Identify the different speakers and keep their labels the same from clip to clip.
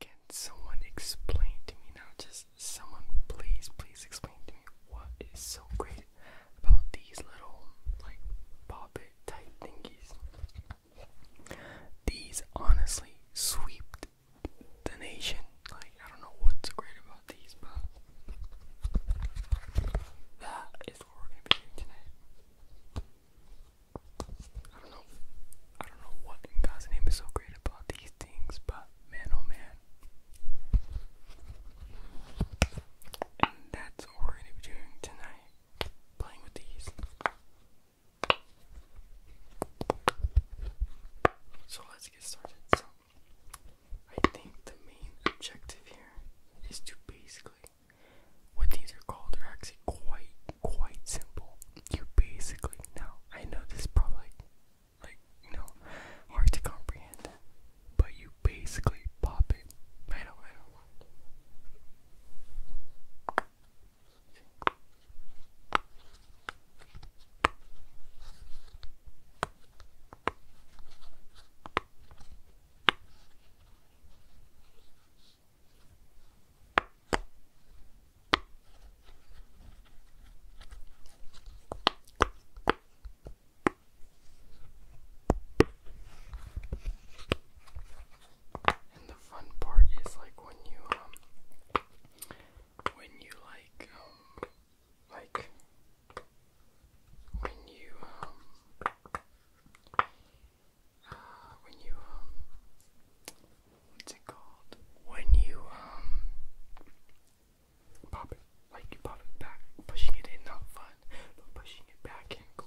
Speaker 1: Can someone explain to me now? Just someone, please, please explain to me what is so great about these little, like, poppet type thingies. These honestly swept the nation. Like, I don't know what's great about these, but that is what we're gonna be doing tonight. I don't know. I don't know what God's name is so great about these things, but man, oh man. And that's what we're gonna be doing tonight. Playing with these. So let's get started. So I think the main objective here is to basically what these are called are actually quite quite simple. You basically now I know this is probably like you know hard to comprehend, but you basically pop it. I do I do and the fun part is like when you um when you like um, like when you um uh, when you um, what's it called? When you um pop it like you pop it back, pushing it in not fun, but pushing it back in cool.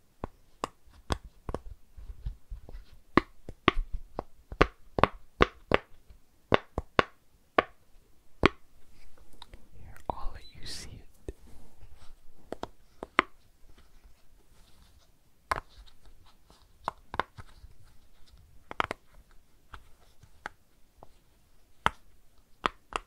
Speaker 1: Here, I'll let you see it. All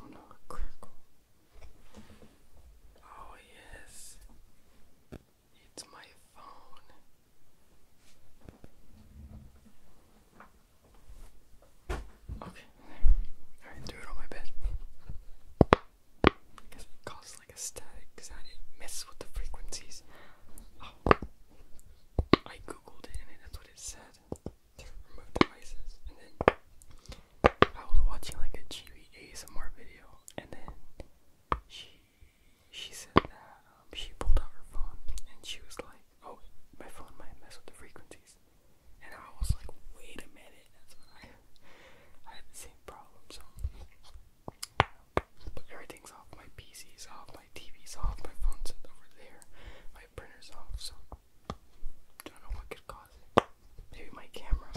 Speaker 1: Oh no, a crackle. Oh yes, it's my phone. Okay, alright, do it on my bed. it causes like a static, because I didn't the frequencies. I googled it and that's what it said. To remove devices. And then I was watching like a GB ASMR video and then she she said that um, she pulled out her phone and she was like, Oh, my phone might mess with the frequencies. And I was like, wait a minute, that's what I I had the same problem, so everything's off. My PC's off. My TV's off. My phone's over there. My printer's off. So I don't know what could cause it. Maybe my camera.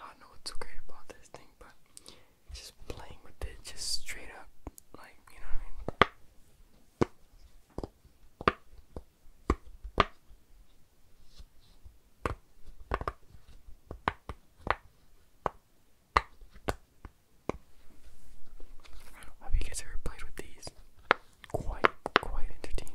Speaker 1: I know what's so great about this thing, but just playing with it, just straight up, like, you know what I mean? I you guys ever played with these. Quite, quite entertaining.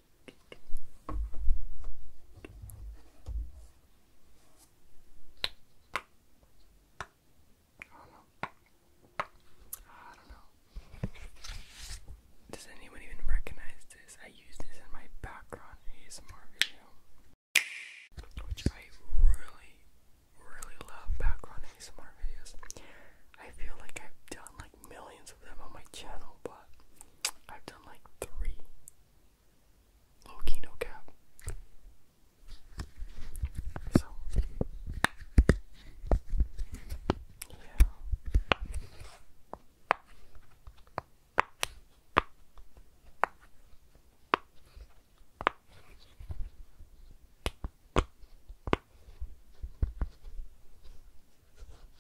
Speaker 1: I do Does anyone even recognize this? I use this in my background ASMR video. Which I really, really love background ASMR videos. I feel like I've done millions of them on my channel, but I've done like three. Low cap. So, yeah.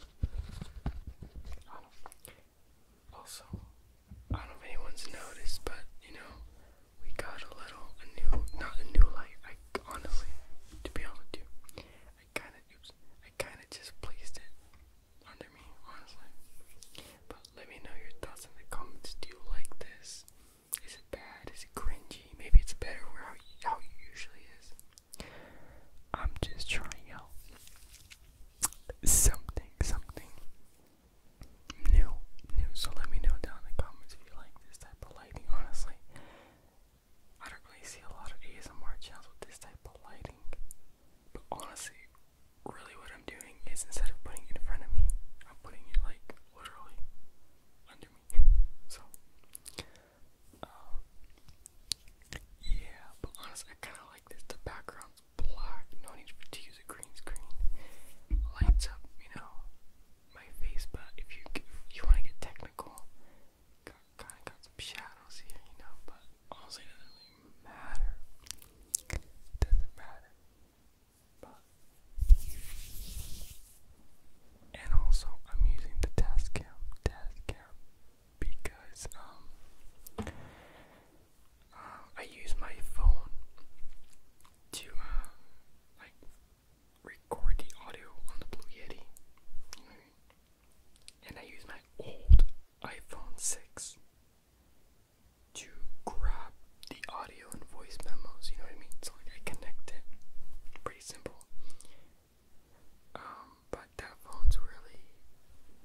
Speaker 1: I don't know. Also, I don't know if anyone's noticed, but you know, we got a little new, not a new light. I honestly, to be honest with you, I kind of, just placed it under me, honestly. But let me know your thoughts in the comments. Do you like this? Is it bad? Is it cringy? Maybe it's better where how it usually is. I'm just trying out something, something new, new. So let me know down in the comments if you like this type of lighting. Honestly, I don't really see a lot of ASMR channels with this type of lighting. But honestly, really what I'm doing is instead of putting it in front of me, I'm putting it like literally under me. so um, yeah, but honestly, I kind of like this. The background's black. No need to use a green screen. Lights up, you know, my face. But if you you want to get technical, kind of got some shadows here, you know. But honestly, doesn't really matter. doesn't matter. But and also, I'm using the test cam, test cam, because um, uh, I use my phone to uh, like record the audio on the Blue Yeti, and I use my old iPhone six to grab the audio and voice memos. You know what I mean? So like I connect it, pretty simple. Um, but that phone's really,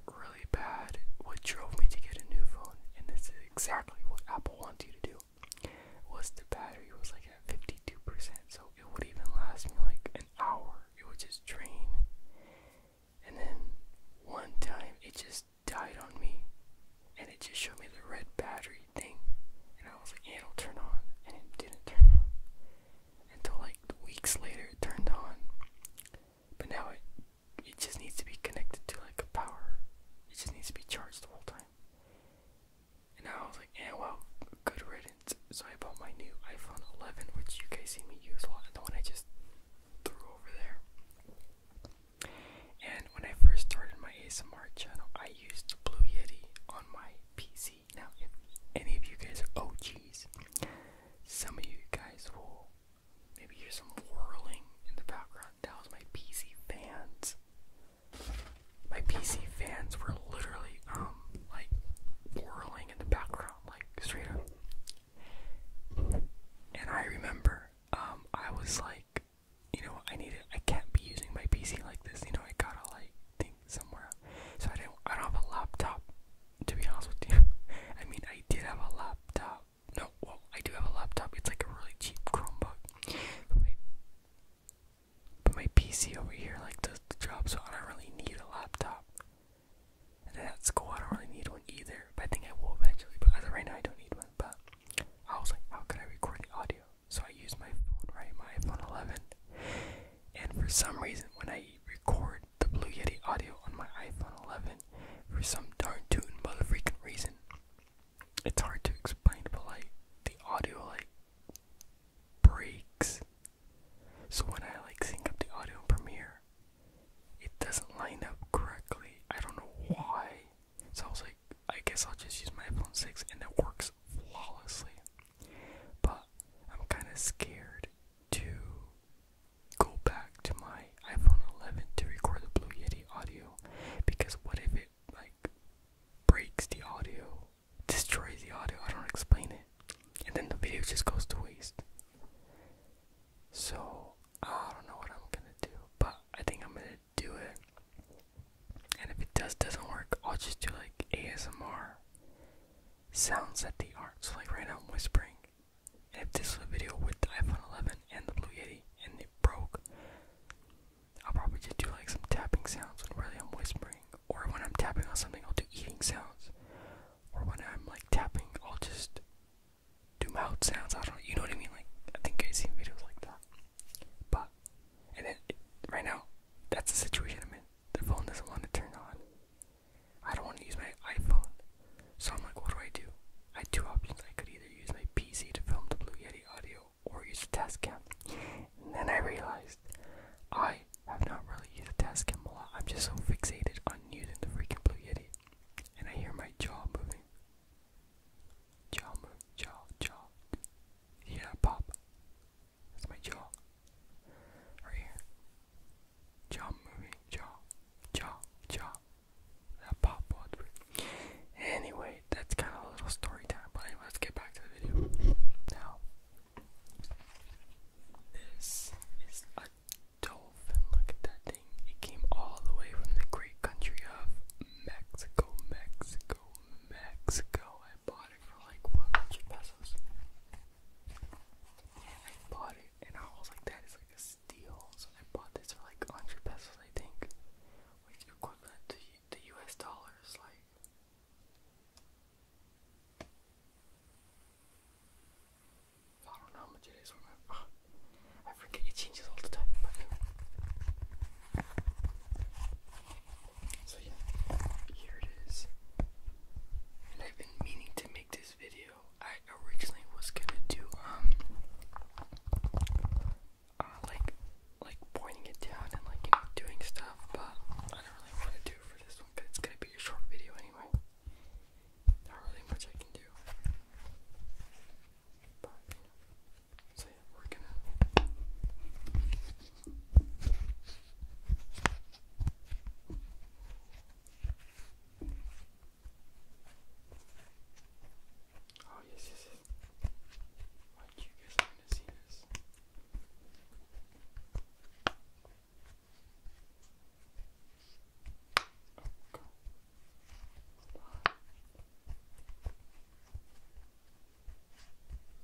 Speaker 1: really bad. What drove me to get a new phone, and this is exactly what Apple wants you to do, was the battery was like at 52%, so it would even last me like an hour. It would just drain. And then one time it just died on me, and it just showed me the red battery thing, and I was like, yeah, it'll turn on, and it didn't turn on until like weeks later it turned on. But now it it just needs to be connected to like a power. It just needs to be charged the whole time. And I was like, yeah, well, good riddance. So I bought my new iPhone 11, which you guys see me use a lot, the one I just threw over there. And when I first started my ASMR channel, I used Blue Yeti on my PC now, if any of you guys are OGs, some of you guys will maybe hear some whirling in the background. That was my PC fans. My PC fans were literally, um, like whirling in the background, like straight up. And I remember, um, I was like, you know, I need it. I can't be using my PC like this. You know, I gotta like somewhere. So I didn't I don't have a laptop to be honest with you. I mean I did have a laptop. No, well I do have a laptop. It's like a really cheap Chromebook. But my but my PC over here like does the job so I don't really need a laptop. And then at school I don't really need one either. But I think I will eventually. But as of right now I don't need one. But I was like, how can I record the audio? so I use my phone, right? My iPhone 11. And for some reason, when I record the Blue Yeti audio on my iPhone 11, for some darn tootin' mother freaking reason, it's hard to explain, but like the audio like breaks. So when I like sync up the audio in Premiere, it doesn't line up correctly. I don't know why. So I was like, I guess I'll just use my iPhone 6 and it works flawlessly. But I'm kind of scared to go back to my iPhone 11 to record the Blue Yeti audio because what if it like breaks the audio, destroys the audio? I don't explain it, and then the video just goes to waste. So I don't know what I'm gonna do, but I think I'm gonna do it and if it does doesn't work, I'll just do like ASMR sounds at the art. So like right now I'm whispering. And if this was a video with the iPhone 11 and the Blue Yeti and it broke, I'll probably just do like some tapping sounds when really I'm whispering. Or when I'm tapping on something, I'll do eating sounds. Or when I'm like tapping, I'll just do mouth sounds. I don't know. You know what I mean? Like I think I've seen videos like that. But and then right now, that's the situation I'm in. The phone doesn't want to turn on. I don't want to use my iPhone, so I'm like, what do I do? I have two options. I could either use my PC to film the Blue Yeti audio or use the test cam. then I realized I have not really used the test cam a lot. I'm just so fixated on using the freaking Blue Yeti. And I hear my jaw moving. Jaw move, jaw, jaw. Yeah, pop. That's my jaw. Right here. Jaw movie. Jaw. Jaw. Jaw. That pop was Anyway, that's kind of a little story time. But let's get back to the video. Now, this is a dolphin. Look at that thing. It came all the way from the great country of Mexico, Mexico, Mexico. I bought for like what, 100 pesos. And I bought it, and I was like, that is like a steal. So I bought this for like 100 pesos, I think, which equivalent to the US dollars, like. I don't know how much it is. I, forget it changes all the time. So yeah, here it is. And I've been meaning to make this video. I originally was gonna do um uh, like like pointing it down and like you know doing stuff, but I don't really want to do for this one because it's gonna be a short video anyway. Not really much I can do. But, so we Oh yes, yes, Why do you guys want to see this?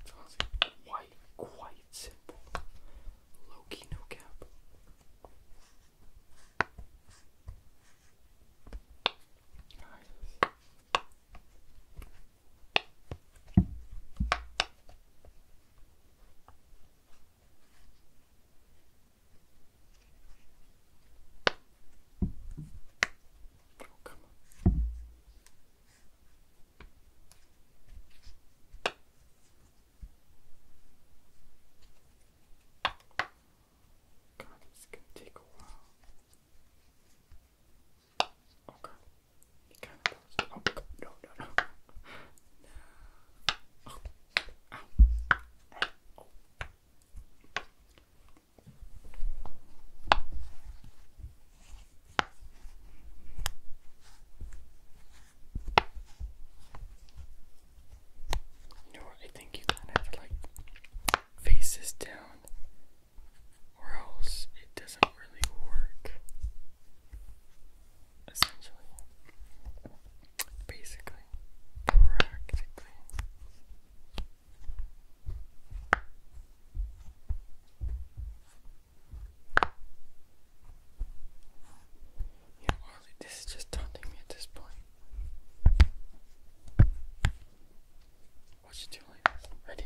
Speaker 1: So it's quite, quite simple. Low key, no cap. Nice. Oh, come on. God, it's gonna take a while. Oh god, he kind of does. Oh god, no, no, no. no. Oh, ow. Hey. Oh. You I think you kind to like face this down, or else it doesn't really work. Essentially, basically, practically. Yeah, honestly, this is just taunting me at this point. Watch it do Ready?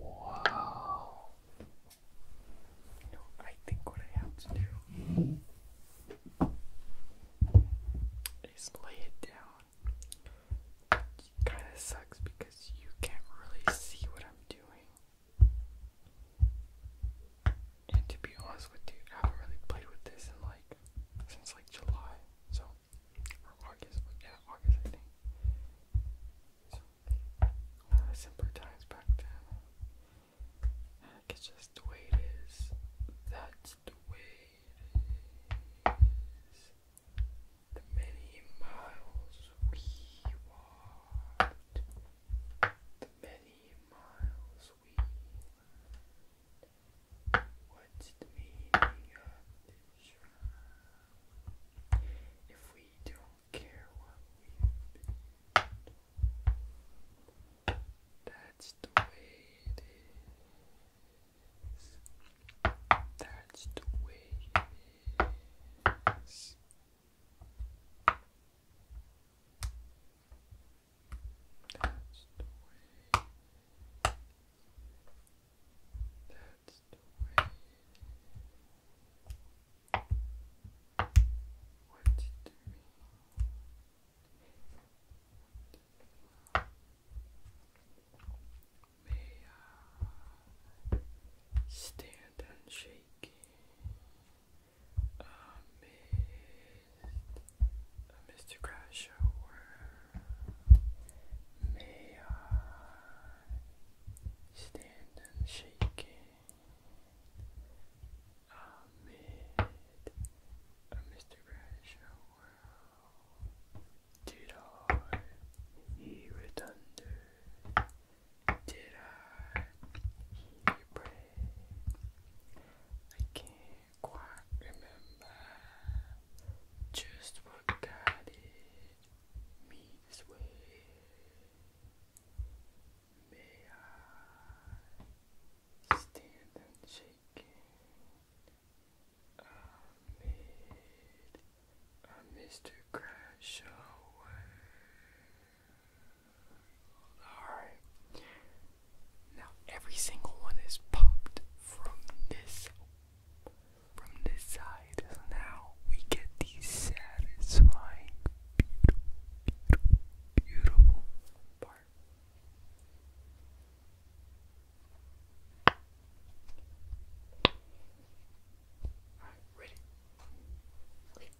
Speaker 1: Wow. I think what I have to do is lay it down. kind of sucks because you can't really see what I'm doing. And to be honest with you, I haven't really played with this in like since like July, so August, yeah, August I think. So uh, simpler times just the way it is. That's the way it is. The many miles we walked. The many miles we learned. the meaning of this round? If we don't care what we've that's the way it is. That's the way it is. That's the way. That's the way. What did it mean? stand unshaken? uh, Mr. Crash, may I stand unshaken amid uh, a Mr. Crash Did I hear a thunder? Did I hear you I can't quite remember just what guided me this way. May I stand unshaken amid a Mr. Crash shower? Alright. Now every single one is popped from this from this side. So now we get the satisfying beautiful beautiful part. Alright, ready?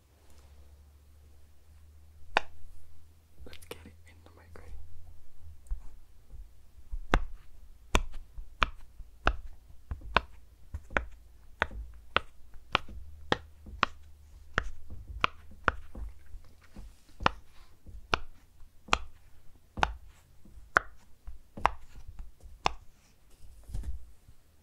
Speaker 1: Let's get it in the microwave.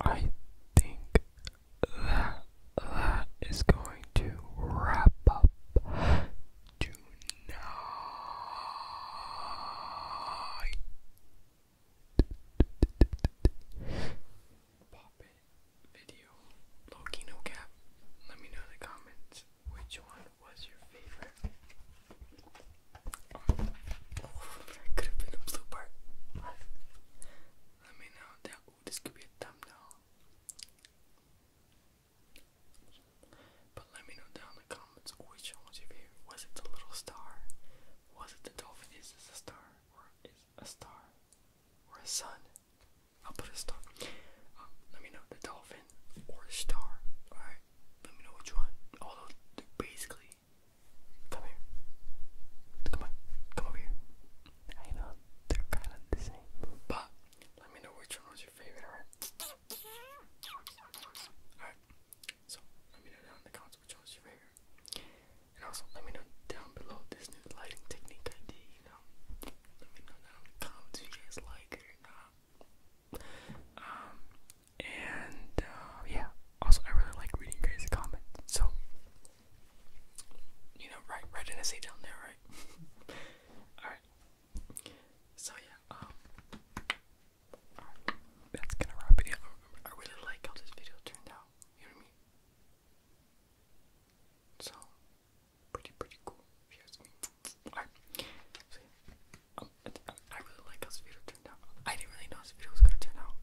Speaker 1: I think that that is going to wrap up tonight. Pop video. Loki no cap. Let me know in the comments which one was your favorite could have been a blue part. Let me know that. this could be a thumbnail. But let me know down in the comments which one was your favorite. Was it the little star? Was it the dolphin? Is this a star? Or is a star? Or a sun? I'll put a star. let me know the dolphin or a star. Alright? Let me know which one. Although they're basically Come here. Come on. Come over here. I know they're kind of the same, but let me know which one was your favorite, alright? So let me know down in the comments which one was your favorite. And also let me know down below this new lighting technique I did, you know. Let me know down in the comments if you guys like it or not. Um and uh, yeah, also I really like reading crazy comments. So you know, right, write an essay down there, right? Alright. So yeah, um That's gonna wrap it up. I really like how this video turned out. You know what I mean? So pretty pretty cool if me. Alright. So um, I really like how this video turned out. I didn't really know the video was gonna turn out.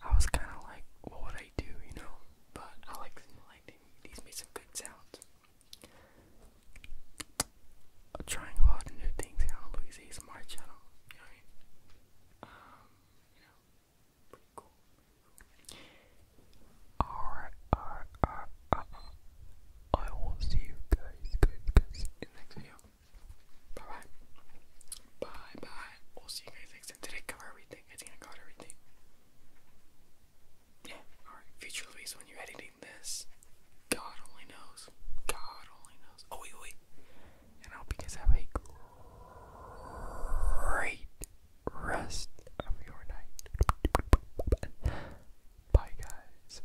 Speaker 1: I was kind of like, what would I do, you know? But I like them. Like these made some good sounds. I'm trying a lot of new things here on Louis smart channel. You know Alright, alright, alright. I will see you guys, guys, guys in the next video. Bye bye. Bye bye. We'll see you guys next time. Did everything? I think I got everything. Yeah, alright. Future Luis, when you're editing this, God only knows. God only knows. Oh, wait, wait. And I hope you guys have a great rest of your night. Bye, guys.